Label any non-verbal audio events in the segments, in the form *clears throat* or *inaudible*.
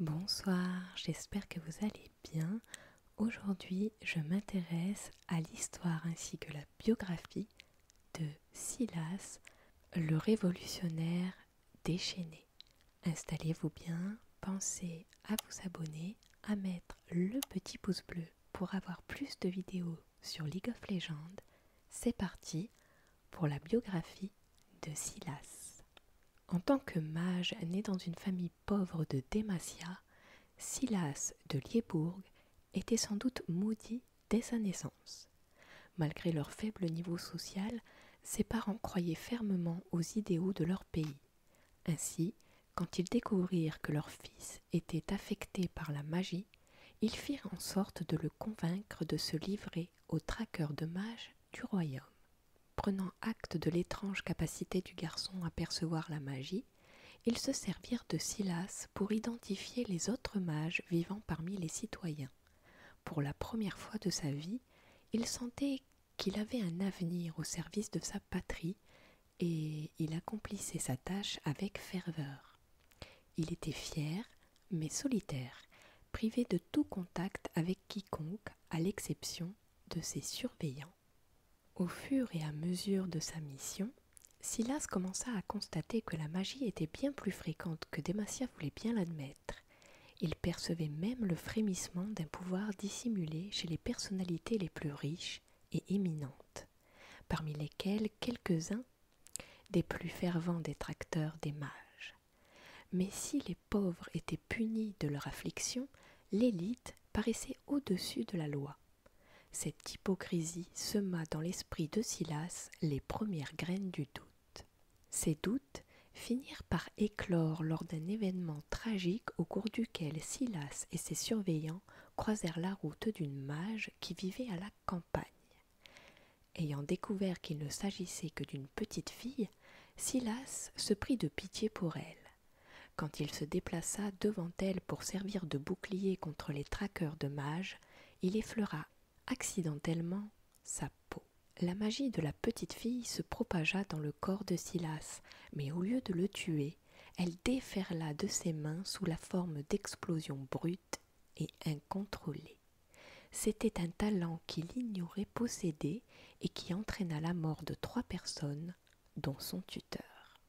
Bonsoir, j'espère que vous allez bien. Aujourd'hui, je m'intéresse à l'histoire ainsi que la biographie de Silas, le révolutionnaire déchaîné. Installez-vous bien, pensez à vous abonner, à mettre le petit pouce bleu pour avoir plus de vidéos sur League of Legends, c'est parti pour la biographie de Silas. En tant que mage né dans une famille pauvre de Demacia, Silas de Liebourg était sans doute maudit dès sa naissance. Malgré leur faible niveau social, ses parents croyaient fermement aux idéaux de leur pays. Ainsi, quand ils découvrirent que leur fils était affecté par la magie, ils firent en sorte de le convaincre de se livrer aux traqueurs de mages du royaume. Prenant acte de l'étrange capacité du garçon à percevoir la magie, ils se servirent de Silas pour identifier les autres mages vivant parmi les citoyens. Pour la première fois de sa vie, il sentait qu'il avait un avenir au service de sa patrie et il accomplissait sa tâche avec ferveur. Il était fier, mais solitaire, privé de tout contact avec quiconque, à l'exception de ses surveillants. Au fur et à mesure de sa mission, Silas commença à constater que la magie était bien plus fréquente que Demacia voulait bien l'admettre. Il percevait même le frémissement d'un pouvoir dissimulé chez les personnalités les plus riches et éminentes parmi lesquels quelques-uns des plus fervents détracteurs des mages. Mais si les pauvres étaient punis de leur affliction, l'élite paraissait au-dessus de la loi. Cette hypocrisie sema dans l'esprit de Silas les premières graines du doute. Ces doutes finirent par éclore lors d'un événement tragique au cours duquel Silas et ses surveillants croisèrent la route d'une mage qui vivait à la campagne. Ayant découvert qu'il ne s'agissait que d'une petite fille, Silas se prit de pitié pour elle. Quand il se déplaça devant elle pour servir de bouclier contre les traqueurs de mages, il effleura accidentellement sa peau. La magie de la petite fille se propagea dans le corps de Silas, mais au lieu de le tuer, elle déferla de ses mains sous la forme d'explosions brutes et incontrôlées. C'était un talent qu'il ignorait posséder et qui entraîna la mort de trois personnes, dont son tuteur.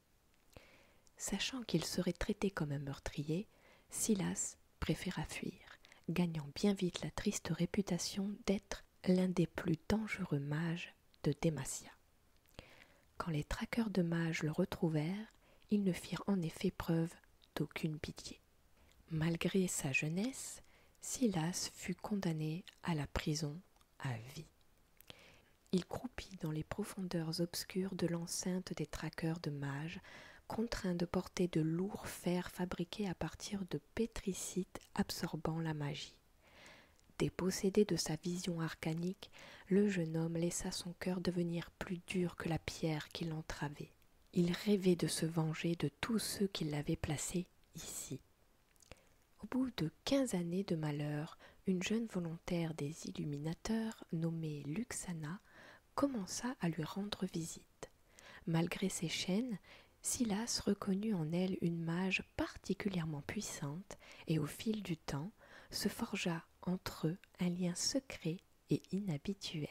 Sachant qu'il serait traité comme un meurtrier, Silas préféra fuir, gagnant bien vite la triste réputation d'être l'un des plus dangereux mages de quand les traqueurs de mages le retrouvèrent, ils ne firent en effet preuve d'aucune pitié. Malgré sa jeunesse, Silas fut condamné à la prison à vie. Il croupit dans les profondeurs obscures de l'enceinte des traqueurs de mages, contraint de porter de lourds fers fabriqués à partir de pétricites absorbant la magie. Dépossédé de sa vision arcanique, le jeune homme laissa son cœur devenir plus dur que la pierre qui l'entravait. Il rêvait de se venger de tous ceux qui l'avaient placé ici. Au bout de quinze années de malheur, une jeune volontaire des Illuminateurs, nommée Luxana, commença à lui rendre visite. Malgré ses chaînes, Silas reconnut en elle une mage particulièrement puissante, et au fil du temps, se forgea entre eux un lien secret et inhabituel.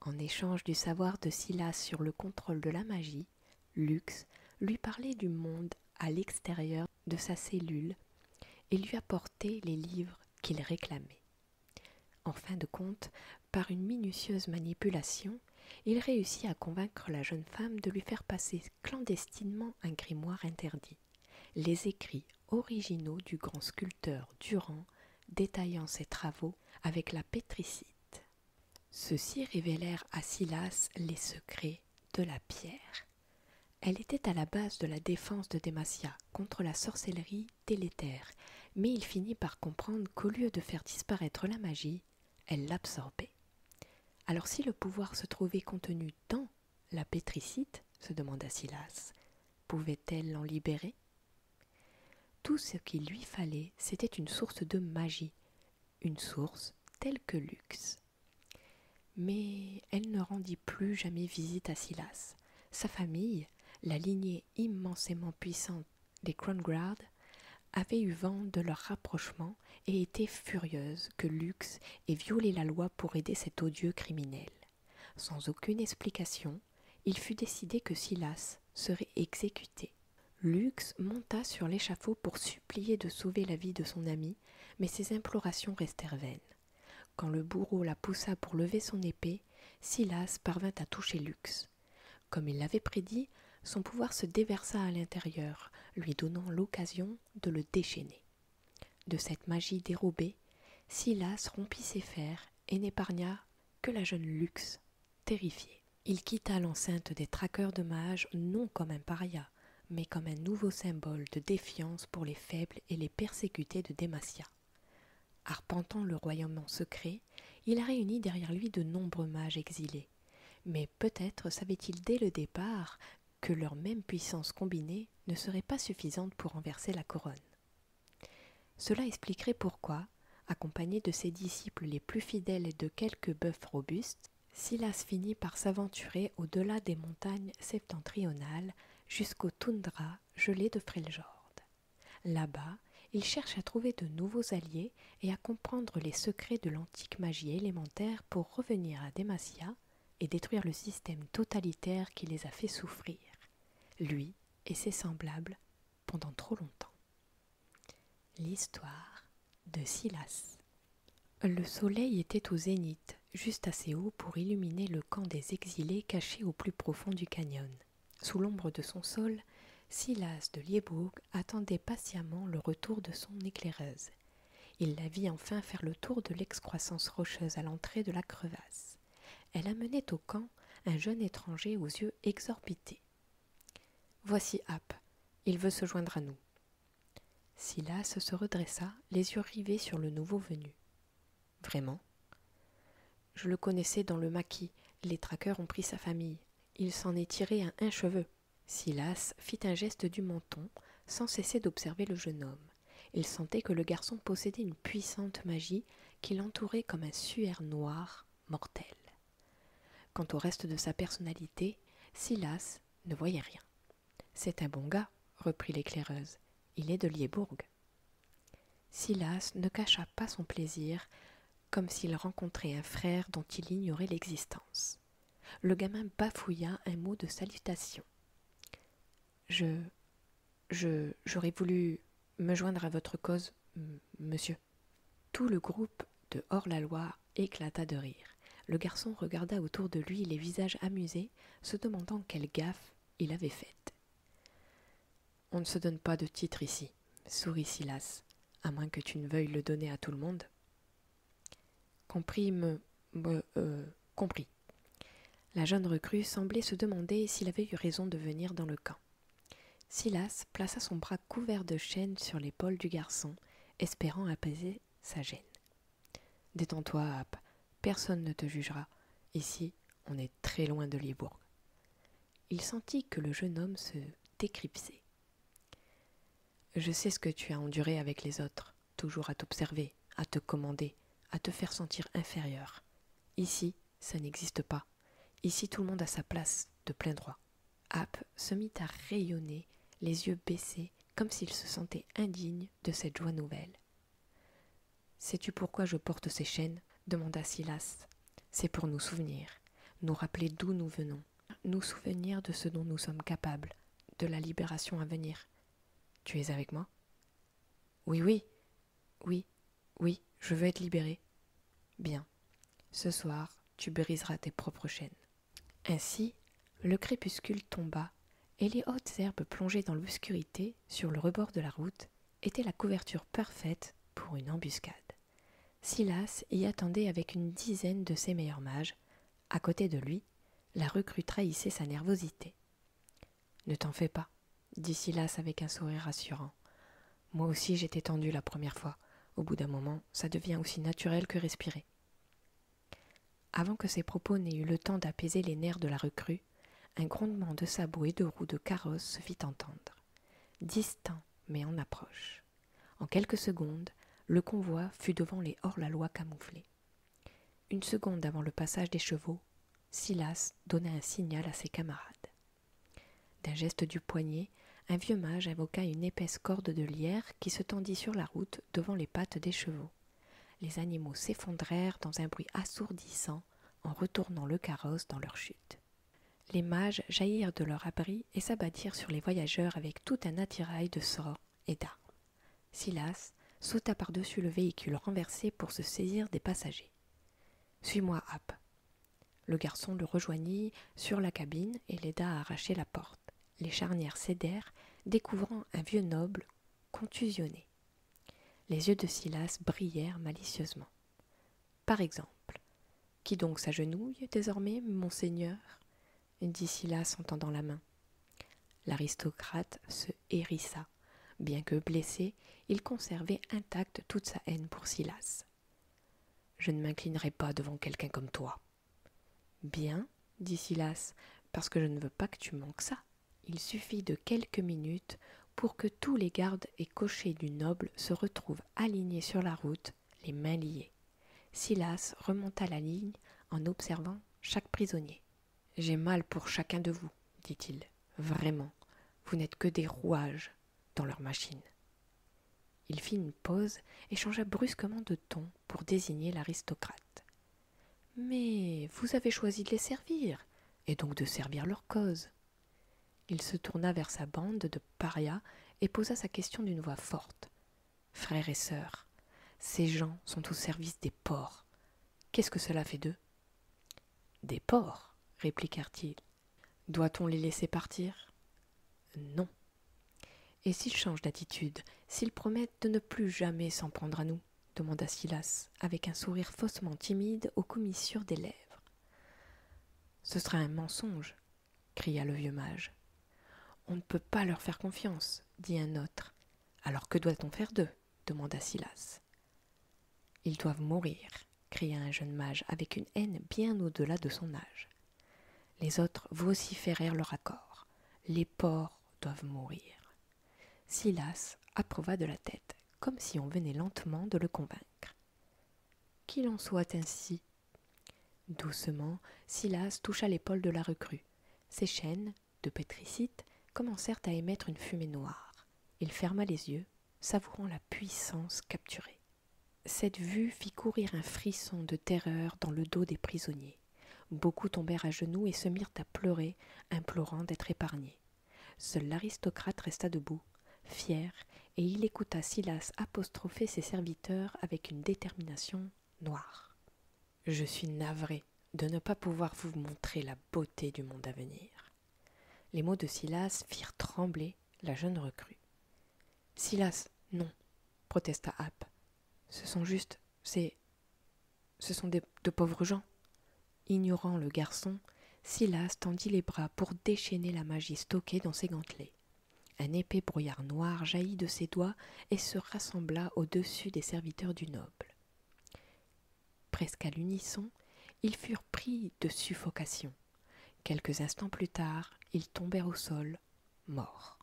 En échange du savoir de Silas sur le contrôle de la magie, Lux lui parlait du monde à l'extérieur de sa cellule et lui apportait les livres qu'il réclamait. En fin de compte, par une minutieuse manipulation, il réussit à convaincre la jeune femme de lui faire passer clandestinement un grimoire interdit les écrits originaux du grand sculpteur Durand détaillant ses travaux avec la pétricite. Ceux-ci révélèrent à Silas les secrets de la pierre. Elle était à la base de la défense de Demacia contre la sorcellerie délétère, mais il finit par comprendre qu'au lieu de faire disparaître la magie, elle l'absorbait. Alors si le pouvoir se trouvait contenu dans la pétricite, se demanda Silas, pouvait-elle l'en libérer Tout ce qu'il lui fallait, c'était une source de magie, une source telle que luxe. Mais elle ne rendit plus jamais visite à Silas. Sa famille, la lignée immensément puissante des Krongrad avait eu vent de leur rapprochement et était furieuse que Lux ait violé la loi pour aider cet odieux criminel. Sans aucune explication, il fut décidé que Silas serait exécuté. Lux monta sur l'échafaud pour supplier de sauver la vie de son ami, mais ses implorations restèrent vaines. Quand le bourreau la poussa pour lever son épée, Silas parvint à toucher Lux. Comme il l'avait prédit, son pouvoir se déversa à l'intérieur, lui donnant l'occasion de le déchaîner. De cette magie dérobée, Silas rompit ses fers et n'épargna que la jeune Luxe, terrifiée. Il quitta l'enceinte des traqueurs de mages non comme un paria, mais comme un nouveau symbole de défiance pour les faibles et les persécutés de démasia. Arpentant le royaume en secret, il réunit derrière lui de nombreux mages exilés. Mais peut-être savait-il dès le départ que leur même puissance combinée ne serait pas suffisante pour renverser la couronne. Cela expliquerait pourquoi, accompagné de ses disciples les plus fidèles et de quelques bœufs robustes, Silas finit par s'aventurer au-delà des montagnes septentrionales jusqu'au toundra gelées de Freljord. Là-bas, il cherche à trouver de nouveaux alliés et à comprendre les secrets de l'antique magie élémentaire pour revenir à Demacia, et détruire le système totalitaire qui les a fait souffrir, lui et ses semblables, pendant trop longtemps. L'histoire de Silas. Le soleil était au zénith, juste assez haut pour illuminer le camp des exilés cachés au plus profond du canyon. Sous l'ombre de son sol, Silas de Liebourg attendait patiemment le retour de son éclaireuse. Il la vit enfin faire le tour de l'excroissance rocheuse à l'entrée de la crevasse. Elle amenait au camp un jeune étranger aux yeux exorbités. Voici App, il veut se joindre à nous. Silas se redressa, les yeux rivés sur le nouveau venu. Vraiment Je le connaissais dans le maquis, les traqueurs ont pris sa famille. Il s'en est tiré à un cheveu. Silas fit un geste du menton, sans cesser d'observer le jeune homme. Il sentait que le garçon possédait une puissante magie qui l'entourait comme un suaire noir mortel. Quant au reste de sa personnalité, Silas ne voyait rien. C'est un bon gars, reprit l'éclaireuse. Il est de Liébourg. Silas ne cacha pas son plaisir, comme s'il rencontrait un frère dont il ignorait l'existence. Le gamin bafouilla un mot de salutation. Je. Je. J'aurais voulu me joindre à votre cause, monsieur. Tout le groupe de hors-la-loi éclata de rire. Le garçon regarda autour de lui les visages amusés, se demandant quelle gaffe il avait faite. On ne se donne pas de titre ici, sourit Silas, à moins que tu ne veuilles le donner à tout le monde. Compris, me, me euh, compris. La jeune recrue semblait se demander s'il avait eu raison de venir dans le camp. Silas plaça son bras couvert de chaînes sur l'épaule du garçon, espérant apaiser sa gêne. Détends-toi, App, personne ne te jugera. Ici, on est très loin de Libourg. Il sentit que le jeune homme se décryptait. Je sais ce que tu as enduré avec les autres toujours à t'observer, à te commander, à te faire sentir inférieur. Ici, ça n'existe pas. Ici, tout le monde a sa place de plein droit. App se mit à rayonner, les yeux baissés, comme s'il se sentait indigne de cette joie nouvelle. Sais-tu pourquoi je porte ces chaînes demanda Silas. C'est pour nous souvenir, nous rappeler d'où nous venons, nous souvenir de ce dont nous sommes capables, de la libération à venir, tu es avec moi Oui, oui, oui, oui, je veux être libérée. Bien. Ce soir, tu briseras tes propres chaînes. Ainsi, le crépuscule tomba, et les hautes herbes plongées dans l'obscurité sur le rebord de la route étaient la couverture parfaite pour une embuscade. Silas y attendait avec une dizaine de ses meilleurs mages, à côté de lui, la recrue trahissait sa nervosité. Ne t'en fais pas, dit Silas avec un sourire rassurant. Moi aussi j'étais tendue la première fois. Au bout d'un moment, ça devient aussi naturel que respirer. Avant que ses propos n'aient eu le temps d'apaiser les nerfs de la recrue, un grondement de sabots et de roues de carrosse se fit entendre. Distant, mais en approche. En quelques secondes, le convoi fut devant les hors-la-loi camouflés. Une seconde avant le passage des chevaux, Silas donna un signal à ses camarades. D'un geste du poignet, un vieux mage invoqua une épaisse corde de lierre qui se tendit sur la route devant les pattes des chevaux. Les animaux s'effondrèrent dans un bruit assourdissant en retournant le carrosse dans leur chute. Les mages jaillirent de leur abri et s'abattirent sur les voyageurs avec tout un attirail de sorts et d'armes. Silas sauta par-dessus le véhicule renversé pour se saisir des passagers. Suis-moi, App. Le garçon le rejoignit sur la cabine et l'aida à arracher la porte. Les charnières cédèrent, découvrant un vieux noble contusionné. Les yeux de Silas brillèrent malicieusement. Par exemple, qui donc s'agenouille désormais, monseigneur dit Silas en tendant la main. L'aristocrate se hérissa. Bien que blessé, il conservait intacte toute sa haine pour Silas. Je ne m'inclinerai pas devant quelqu'un comme toi. Bien, dit Silas, parce que je ne veux pas que tu manques ça. Il suffit de quelques minutes pour que tous les gardes et cochers du noble se retrouvent alignés sur la route, les mains liées. Silas remonta la ligne en observant chaque prisonnier. J'ai mal pour chacun de vous, dit-il. Vraiment, vous n'êtes que des rouages dans leur machine. Il fit une pause et changea brusquement de ton pour désigner l'aristocrate. Mais vous avez choisi de les servir, et donc de servir leur cause. Il se tourna vers sa bande de parias et posa sa question d'une voix forte. Frères et sœurs, ces gens sont au service des porcs. Qu'est-ce que cela fait d'eux Des porcs, répliquèrent-ils. Doit-on les laisser partir Non. Et s'ils changent d'attitude, s'ils promettent de ne plus jamais s'en prendre à nous demanda Silas, avec un sourire faussement timide aux commissures des lèvres. Ce sera un mensonge, cria le vieux mage. On ne peut pas leur faire confiance, dit un autre. Alors que doit-on faire d'eux demanda Silas. Ils doivent mourir, cria un jeune mage avec une haine bien au-delà de son âge. Les autres vociférèrent leur accord. Les porcs doivent mourir. Silas approuva de la tête, comme si on venait lentement de le convaincre. Qu'il en soit ainsi. Doucement, Silas toucha l'épaule de la recrue. Ses chaînes, de pétricite, commencèrent à émettre une fumée noire. Il ferma les yeux, savourant la puissance capturée. Cette vue fit courir un frisson de terreur dans le dos des prisonniers. Beaucoup tombèrent à genoux et se mirent à pleurer, implorant d'être épargnés. Seul l'aristocrate resta debout, fier, et il écouta Silas apostropher ses serviteurs avec une détermination noire. Je suis navré de ne pas pouvoir vous montrer la beauté du monde à venir. Les mots de Silas firent trembler la jeune recrue. Silas, non, protesta App. Ce sont juste, c'est. Ce sont de pauvres gens. Ignorant le garçon, Silas tendit les bras pour déchaîner la magie stockée dans ses gantelets. Un épais brouillard noir jaillit de ses doigts et se rassembla au-dessus des serviteurs du noble. Presque à l'unisson, ils furent pris de suffocation. Quelques instants plus tard, ils tombèrent au sol, morts.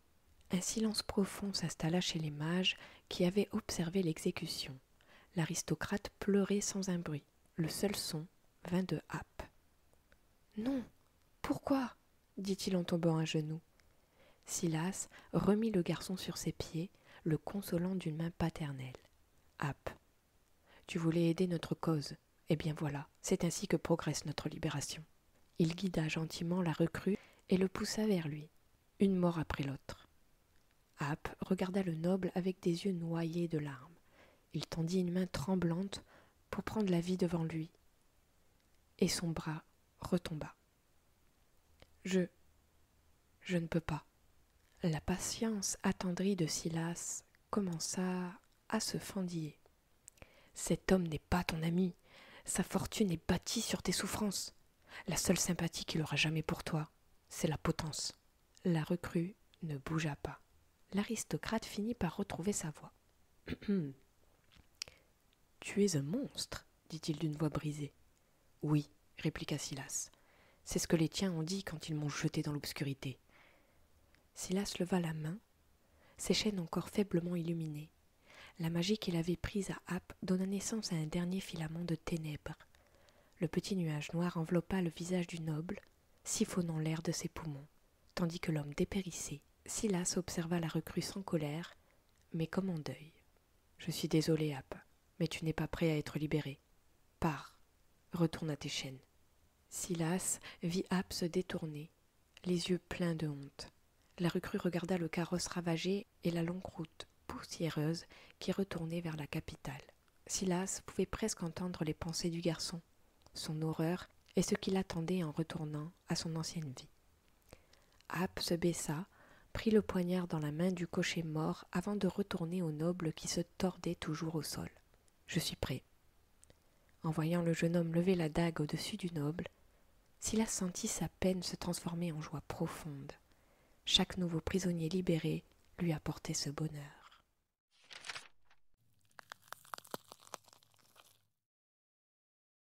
Un silence profond s'installa chez les mages qui avaient observé l'exécution. L'aristocrate pleurait sans un bruit. Le seul son vint de Hap. Non. Pourquoi? dit il en tombant à genoux. Silas remit le garçon sur ses pieds, le consolant d'une main paternelle. App. Tu voulais aider notre cause. Eh bien voilà, c'est ainsi que progresse notre libération. Il guida gentiment la recrue et le poussa vers lui, une mort après l'autre. App regarda le noble avec des yeux noyés de larmes. Il tendit une main tremblante pour prendre la vie devant lui, et son bras retomba. Je. Je ne peux pas. La patience attendrie de Silas commença à se fendiller. Cet homme n'est pas ton ami. Sa fortune est bâtie sur tes souffrances. La seule sympathie qu'il aura jamais pour toi, c'est la potence. La recrue ne bougea pas. L'aristocrate finit par retrouver sa voix. *clears throat* Tu es un monstre, dit-il d'une voix brisée. Oui, répliqua Silas. C'est ce que les tiens ont dit quand ils m'ont jeté dans l'obscurité. Silas leva la main, ses chaînes encore faiblement illuminées. La magie qu'il avait prise à App donna naissance à un dernier filament de ténèbres. Le petit nuage noir enveloppa le visage du noble, siphonnant l'air de ses poumons. Tandis que l'homme dépérissait, Silas observa la recrue sans colère, mais comme en deuil. Je suis désolé, App, mais tu n'es pas prêt à être libéré. Pars, retourne à tes chaînes. Silas vit App se détourner, les yeux pleins de honte. La recrue regarda le carrosse ravagé et la longue route poussiéreuse qui retournait vers la capitale. Silas pouvait presque entendre les pensées du garçon, son horreur et ce qu'il attendait en retournant à son ancienne vie se baissa, prit le poignard dans la main du cocher mort avant de retourner au noble qui se tordait toujours au sol. Je suis prêt. En voyant le jeune homme lever la dague au-dessus du noble, Sylla sentit sa peine se transformer en joie profonde. Chaque nouveau prisonnier libéré lui apportait ce bonheur.